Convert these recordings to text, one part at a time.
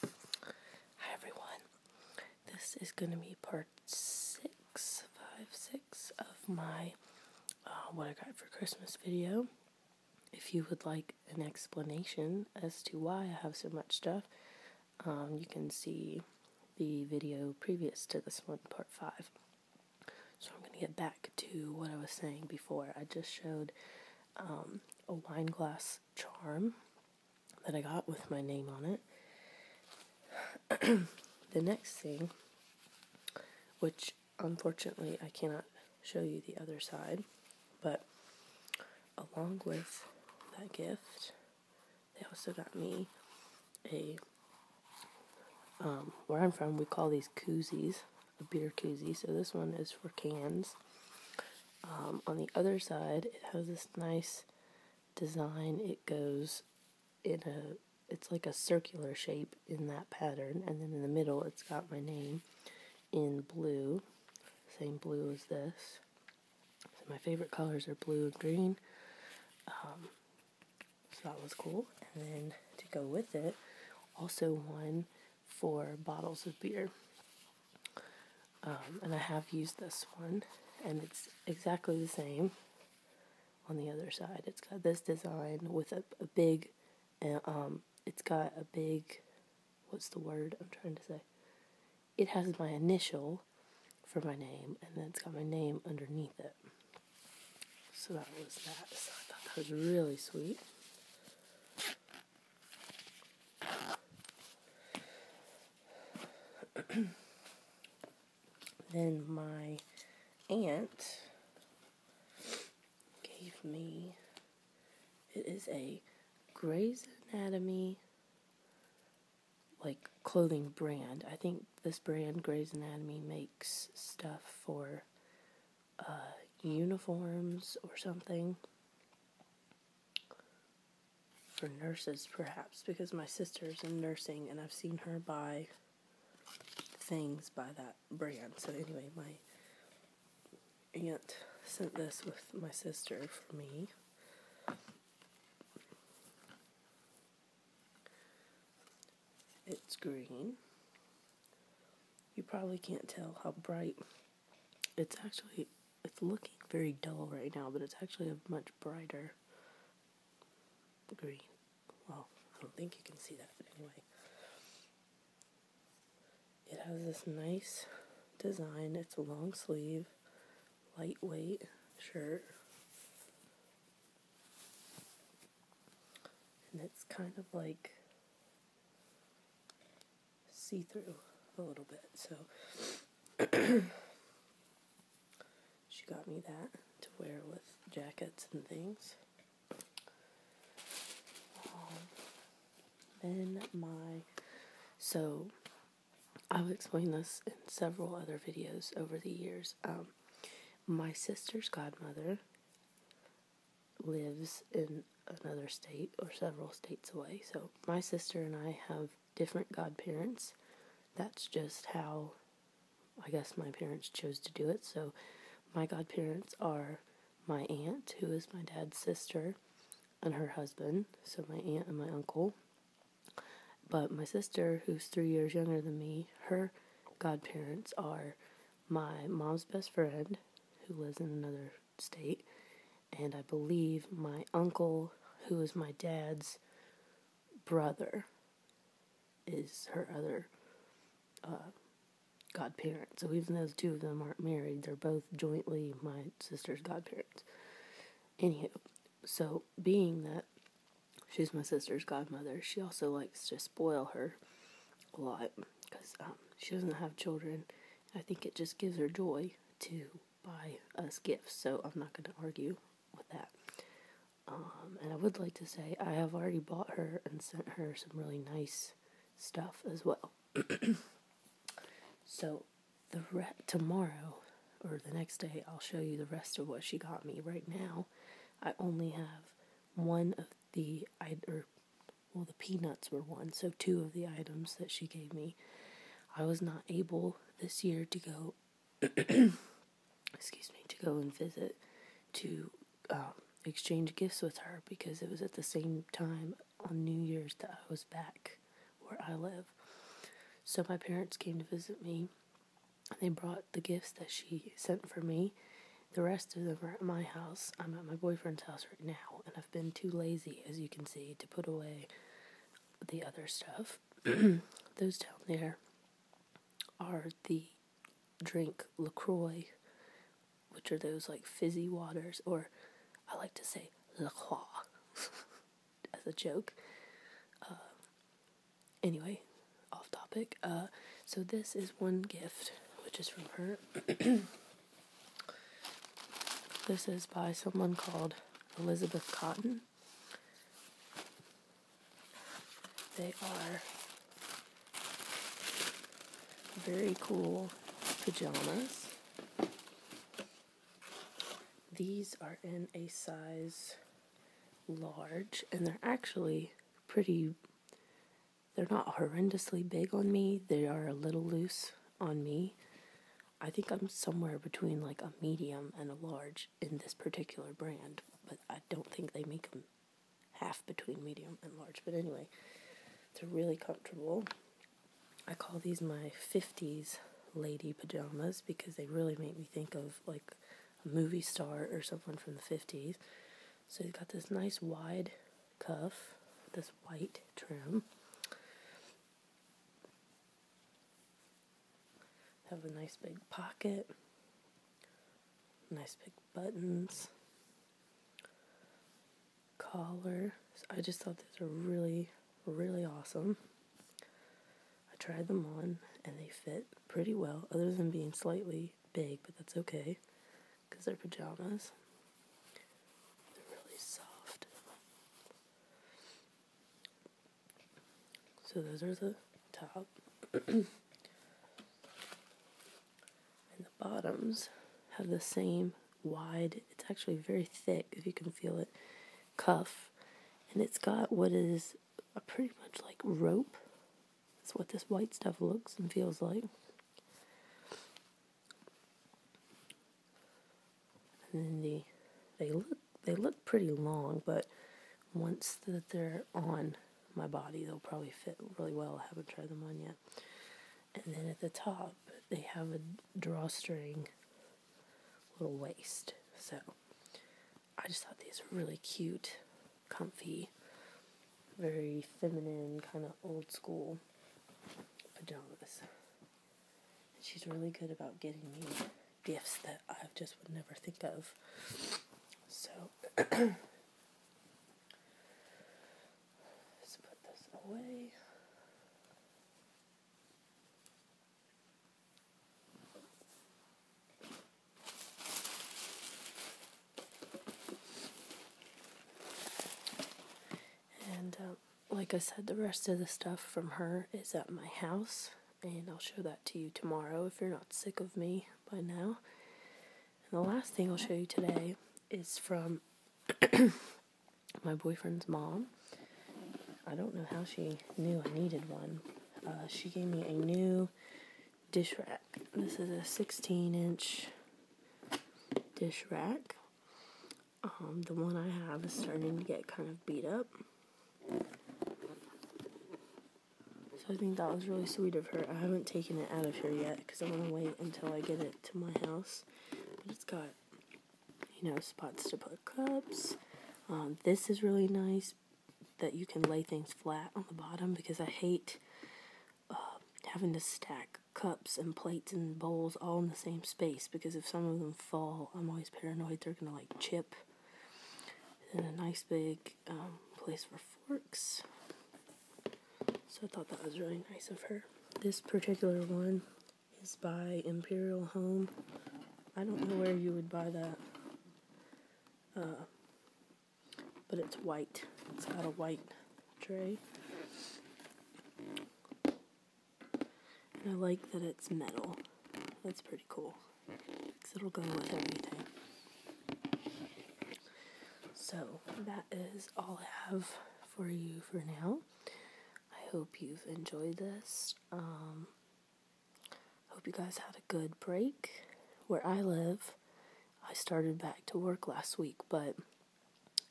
Hi everyone. This is going to be part six, five, six of my uh, what I got for Christmas video. If you would like an explanation as to why I have so much stuff, um, you can see the video previous to this one, part five. So I'm going to get back to what I was saying before. I just showed um, a wine glass charm that I got with my name on it. the next thing, which unfortunately I cannot show you the other side, but along with that gift, they also got me a um, where I'm from, we call these koozies a beer koozie. So this one is for cans. Um, on the other side, it has this nice design. It goes in a, it's like a circular shape in that pattern. And then in the middle, it's got my name in blue. Same blue as this. my favorite colors are blue and green. Um, so that was cool. And then to go with it, also one for bottles of beer. Um, and I have used this one, and it's exactly the same on the other side. It's got this design with a, a big, uh, um, it's got a big, what's the word I'm trying to say? It has my initial for my name, and then it's got my name underneath it. So that was that. So I thought that was really sweet. then my aunt gave me it is a Grey's Anatomy like clothing brand. I think this brand Grey's Anatomy makes stuff for uh, uniforms or something for nurses, perhaps, because my sister's in nursing and I've seen her buy things by that brand. So, anyway, my aunt sent this with my sister for me. It's green. You probably can't tell how bright it's actually it's looking very dull right now, but it's actually a much brighter green. Well, I don't think you can see that, anyway. It has this nice design. It's a long sleeve, lightweight shirt and it's kind of like see through a little bit. So she got me that to wear with jackets and things. Um, then my so I've explained this in several other videos over the years. Um, my sister's godmother lives in another state or several states away. So my sister and I have different godparents. That's just how I guess my parents chose to do it. So my godparents are my aunt, who is my dad's sister, and her husband. So my aunt and my uncle. But my sister, who's three years younger than me, her godparents are my mom's best friend, who lives in another state, and I believe my uncle, who is my dad's brother, is her other uh, godparent. So even though two of them aren't married, they're both jointly my sister's godparents. Anywho, so being that she's my sister's godmother, she also likes to spoil her a lot because um, she doesn't have children. I think it just gives her joy to buy us gifts, so I'm not going to argue with that. Um, and I would like to say I have already bought her and sent her some really nice stuff as well. so the re- tomorrow or the next day, I'll show you the rest of what she got me. Right now, I only have one of the I or well the peanuts were one, so two of the items that she gave me. I was not able this year to go. excuse me, to go and visit to um, exchange gifts with her because it was at the same time on New Year's that I was back where I live. So my parents came to visit me. They brought the gifts that she sent for me. The rest of them are at my house. I'm at my boyfriend's house right now, and I've been too lazy, as you can see, to put away the other stuff. Those down there are the drink LaCroix, which are those like fizzy waters, or I like to say LaCroix. as a joke. Uh, anyway, off topic. Uh, so this is one gift, which is from her. this is by someone called Elizabeth Cotton. They are very cool pajamas. These are in a size large, and they're actually pretty, they're not horrendously big on me. They are a little loose on me. I think I'm somewhere between like a medium and a large in this particular brand, but I don't think they make them half between medium and large. But anyway, they're really comfortable. I call these my 50s lady pajamas because they really make me think of like a movie star or someone from the 50s. So you've got this nice wide cuff, this white trim. Have a nice big pocket, nice big buttons collar. I just thought these were really, really awesome. I tried them on and they fit pretty well, other than being slightly big, but that's okay because they're pajamas. They're really soft. So those are the top. and the bottoms have the same wide, it's actually very thick if you can feel it, cuff. And it's got what is a pretty much like rope. That's what this white stuff looks and feels like. And then the they look they look pretty long, but once that they're on my body, they'll probably fit really well. I haven't tried them on yet and then at the top they have a drawstring little waist. So I just thought these were really cute, comfy, very feminine, kind of old school pajamas. she's really good about getting me gifts that I just would never think of. So let put this away. And um, like I said, the rest of the stuff from her is at my house, and I'll show that to you tomorrow if you're not sick of me by now the last thing I'll show you today is from my boyfriend's mom. I don't know how she knew I needed one. Uh, she gave me a new dish rack. This is a 16 inch dish rack. Um, the one I have is starting to get kind of beat up. So I think that was really sweet of her. I haven't taken it out of here yet because I want to wait until I get it to my house. But it's got, you know, spots to put cups. Um, this is really nice that you can lay things flat on the bottom because I hate uh, having to stack cups and plates and bowls all in the same space because if some of them fall, I'm always paranoid they're going to like chip. And a nice big um, place for Works, So I thought that was really nice of her. This particular one is by Imperial Home. I don't know where you would buy that. Uh, but it's white. It's got a white tray. And I like that it's metal. That's pretty cool because it'll go with everything. So, that is all I have for you for now. I hope you've enjoyed this. Um, hope you guys had a good break. Where I live, I started back to work last week, but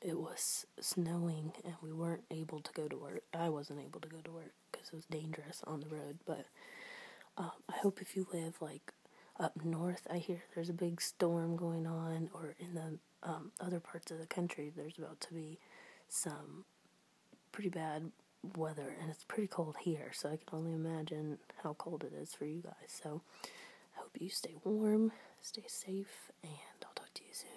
it was snowing and we weren't able to go to work. I wasn't able to go to work because it was dangerous on the road. But um, I hope if you live like up north, I hear there's a big storm going on, or in the um, other parts of the country, there's about to be some pretty bad weather, and it's pretty cold here, so I can only imagine how cold it is for you guys. So I hope you stay warm, stay safe, and I'll talk to you soon.